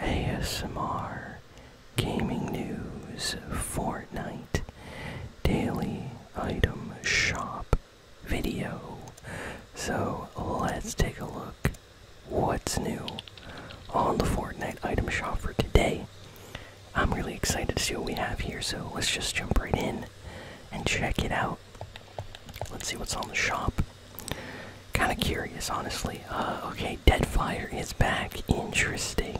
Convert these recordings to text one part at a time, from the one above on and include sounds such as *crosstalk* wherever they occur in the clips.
ASMR, gaming news, Fortnite, daily item shop video. So let's take a look what's new on the Fortnite item shop for today. I'm really excited to see what we have here, so let's just jump right in and check it out. Let's see what's on the shop. Kind of curious, honestly. Uh, okay, Deadfire is back. Interesting.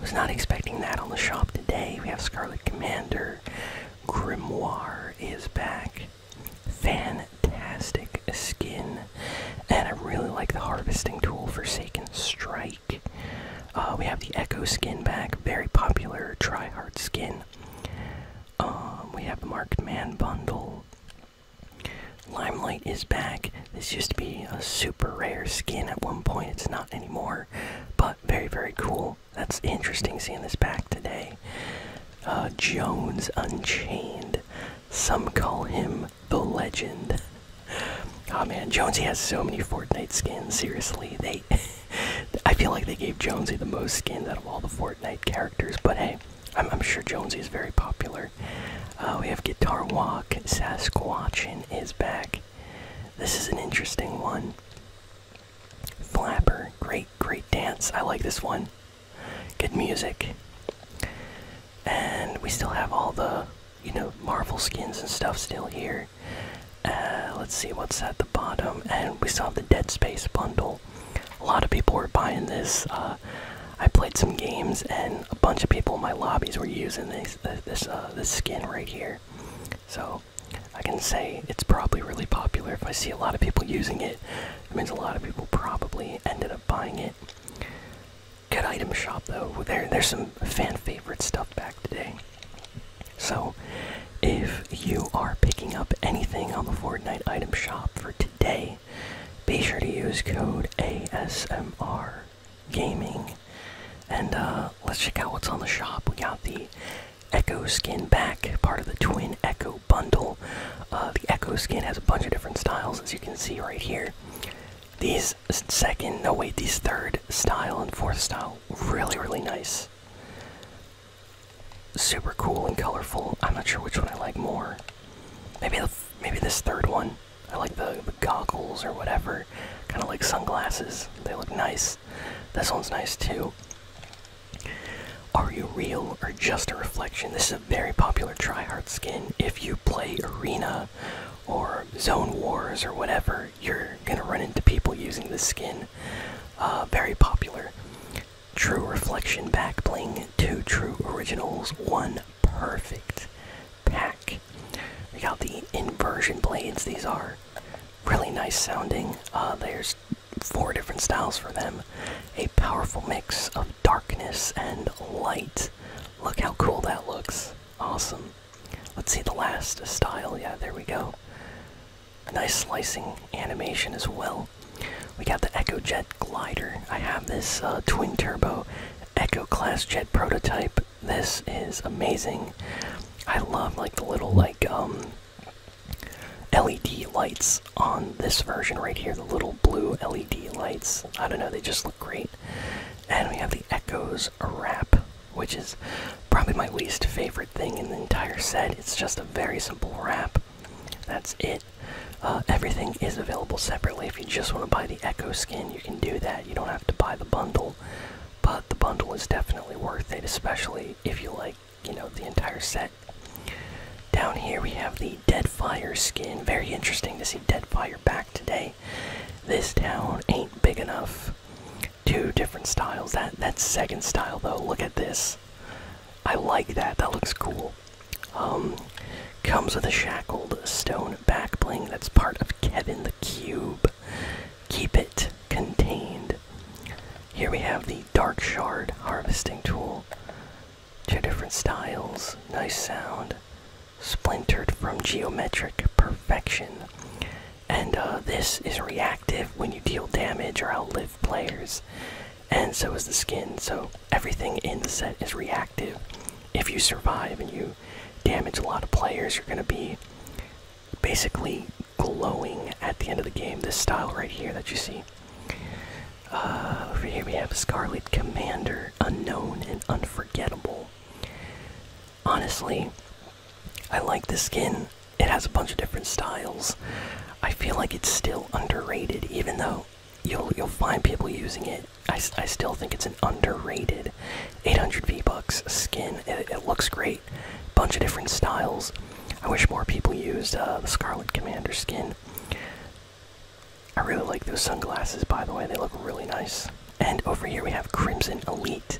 Was not expecting that on the shop today. We have Scarlet Commander. Grimoire is back. Fantastic skin. And I really like the harvesting tool, Forsaken Strike. Uh, we have the Echo skin back. Very popular try hard skin. Um, we have the Man bundle. Limelight is back. This used to be a super rare skin at one point, it's not anymore, but very, very cool. That's interesting seeing this back today. Uh, Jones Unchained. Some call him the legend. *laughs* Oh man, Jonesy has so many Fortnite skins. Seriously, they. *laughs* I feel like they gave Jonesy the most skins out of all the Fortnite characters, but hey, I'm, sure Jonesy is very popular. Uh, we have Guitar Walk, Sasquatchin is back. This is an interesting one. Flapper, great, great dance. I like this one. Good music. And we still have all the, you know, Marvel skins and stuff still here. Uh, let's see what's at the bottom. And we saw the Dead Space bundle. A lot of people were buying this. Uh, I played some games, and a bunch of people in my lobbies were using this uh, uh, this skin right here. So I can say it's probably really popular. If I see a lot of people using it, it means a lot of people probably ended up buying it. Good item shop though. there's some fan favorite stuff back today. So if you are picking up anything on the Fortnite item shop for today. Be sure to use code ASMR Gaming, and uh, let's check out what's on the shop. We got the Echo Skin back, part of the Twin Echo bundle. Uh, the Echo Skin has a bunch of different styles, as you can see right here. These second, no wait, these third style and fourth style, really, really nice. Super cool and colorful. I'm not sure which one I like more. Maybe maybe this third one. I like the, goggles or whatever, kind of like sunglasses. They look nice. This one's nice too. Are you real or just a reflection? This is a very popular tryhard skin. If you play Arena or Zone Wars or whatever, you're gonna run into people using this skin. Uh, very popular. True Reflection back bling, two True Originals, one perfect pack. We got the inversion blades, these are really nice sounding. Uh, there's four different styles for them. A powerful mix of darkness and light. Look how cool that looks. Awesome. Let's see the last style. Yeah, there we go. nice slicing animation as well. We got the EchoJet Glider. I have this uh, twin turbo Echo class jet prototype. This is amazing. I love like the little like um, LED lights on this version right here. The little blue LED lights. I don't know. They just look great. And we have the Echoes wrap, which is probably my least favorite thing in the entire set. It's just a very simple wrap. That's it. Uh, everything is available separately. If you just want to buy the Echo skin, you can do that. You don't have to buy the bundle, but the bundle is definitely worth it, especially if you like, you know, the entire set. Down here we have the Deadfire skin. Very interesting to see Deadfire back today. This town ain't big enough. Two different styles. That that's second style though. Look at this. I like that. That looks cool. Um, comes with a shackled stone backbling that's part of Kevin the Cube. Keep it contained. Here we have the Dark Shard harvesting tool. Two different styles, nice sound. Splintered from geometric perfection. And uh, this is reactive when you deal damage or outlive players and so is the skin. So everything in the set is reactive. If you survive and you damage a lot of players, you're going to be basically glowing at the end of the game. This style right here that you see. Uh, over here we have Scarlet Commander, unknown and unforgettable. Honestly, I like this skin. It has a bunch of different styles. I feel like it's still underrated, even though you'll you'll find people using it. I, I still think it's an underrated 800 V bucks skin. It, looks great. Bunch of different styles. I wish more people used uh, the Scarlet Commander skin. I really like those sunglasses, by the way. They look really nice. And over here we have Crimson Elite,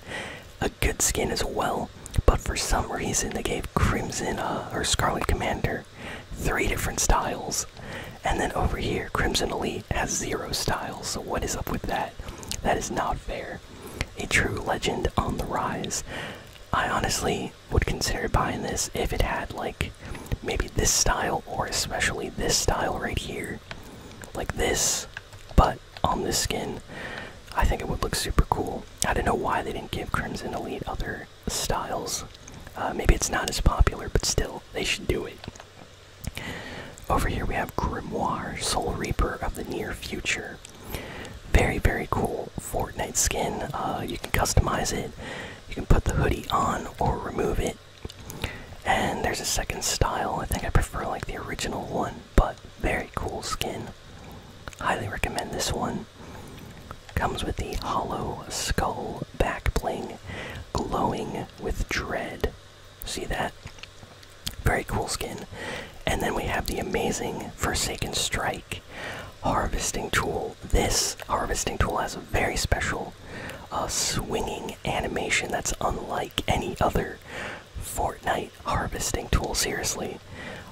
a good skin as well. But for some reason, they gave Crimson uh, or Scarlet Commander three different styles. And then over here, Crimson Elite has zero styles. So, what is up with that? That is not fair. A true legend on the rise. I honestly would consider buying this if it had, like, maybe this style, or especially this style right here. Like this, but on this skin. I think it would look super cool. I don't know why they didn't give Crimson Elite other styles. Uh, maybe it's not as popular, but still, they should do it. Over here we have Grimoire, Soul Reaper of the Near Future. Very, very cool Fortnite skin. Uh, you can customize it. You can put the hoodie on or remove it. And there's a second style. I think I prefer like the original one, but very cool skin. Highly recommend this one. Comes with the hollow skull back bling glowing with dread. See that? Very cool skin. And then we have the amazing Forsaken Strike harvesting tool. This harvesting tool has a very special uh, swinging animation that's unlike any other Fortnite harvesting tool. Seriously.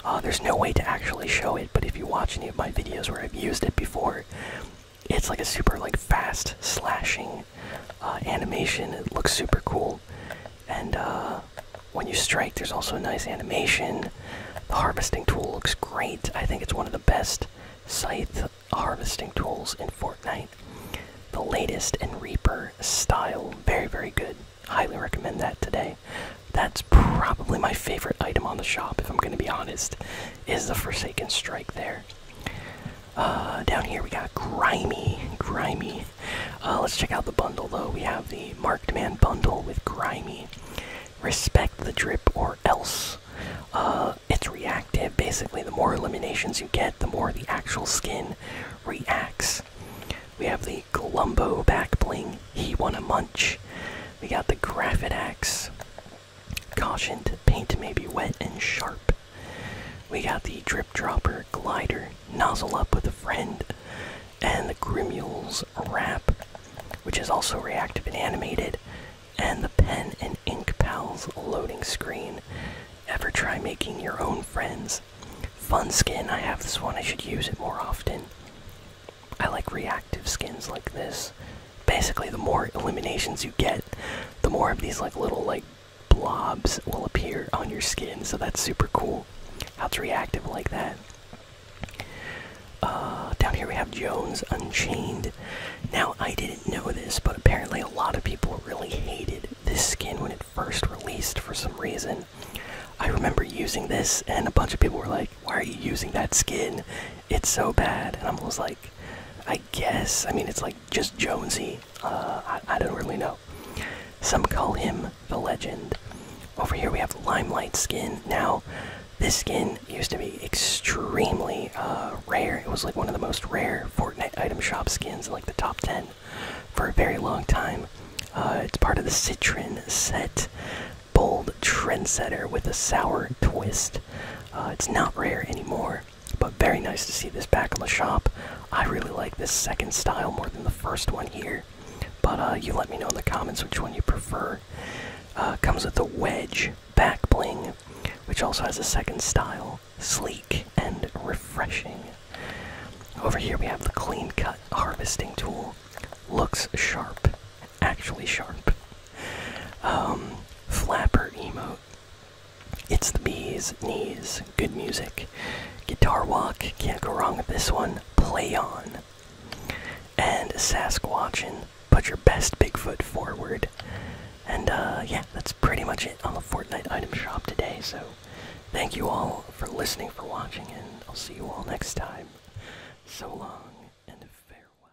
Uh, there's no way to actually show it, but if you watch any of my videos where I've used it before, it's like a super like fast slashing uh, animation. It looks super cool, and uh, when you strike, there's also a nice animation. The harvesting tool looks great. I think it's one of the best scythe harvesting tools in Fortnite. The latest and Reaper style, very very good. Highly recommend that today. That's probably my favorite item on the shop, if I'm going to be honest is the Forsaken Strike there. Uh, down here we got Grimy. Grimy. Uh, let's check out the bundle though. We have the Marked Man bundle with Grimy. Respect the drip or else. Uh, it's reactive. Basically, the more eliminations you get, the more the actual skin reacts. We have the Glumbo back bling. He won a munch. We got the Graffit Axe. Cautioned, paint may be wet and sharp. We got the drip dropper glider, nozzle up with a friend, and the Grimule's wrap, which is also reactive and animated, and the pen and ink pals loading screen. Ever try making your own friends? Fun skin, I have this one, I should use it more often. I like reactive skins like this basically the more eliminations you get, the more of these like little like blobs will appear on your skin. So that's super cool. How it's reactive like that. Uh, down here we have Jones Unchained. Now I didn't know this, but apparently a lot of people really hated this skin when it first released for some reason. I remember using this, and a bunch of people were like, "Why are you using that skin? It's so bad, and I'm almost like, I guess. I mean, it's like just Jonesy. Uh, I, I don't really know. Some call him the legend. Over here we have Limelight skin. Now, this skin used to be extremely uh, rare. It was like one of the most rare Fortnite item shop skins, like the top 10 for a very long time. Uh, it's part of the Citron set. Bold trendsetter with a sour twist. Uh, it's not rare anymore, but very nice to see this back in the shop. I really like this second style more than the first one here, but uh, you let me know in the comments which one you prefer. Uh, comes with a wedge back bling, which also has a second style, sleek and refreshing. Over here we have the clean cut harvesting tool. Looks sharp, actually sharp. Um, flapper emote. It's the bees, knees, good music. Guitar walk, can't go wrong with this one. Play on. And Sasquatchin, put your best Bigfoot forward. And uh, yeah, that's pretty much it on the Fortnite item shop today. So thank you all for listening, for watching, and I'll see you all next time. So long and farewell.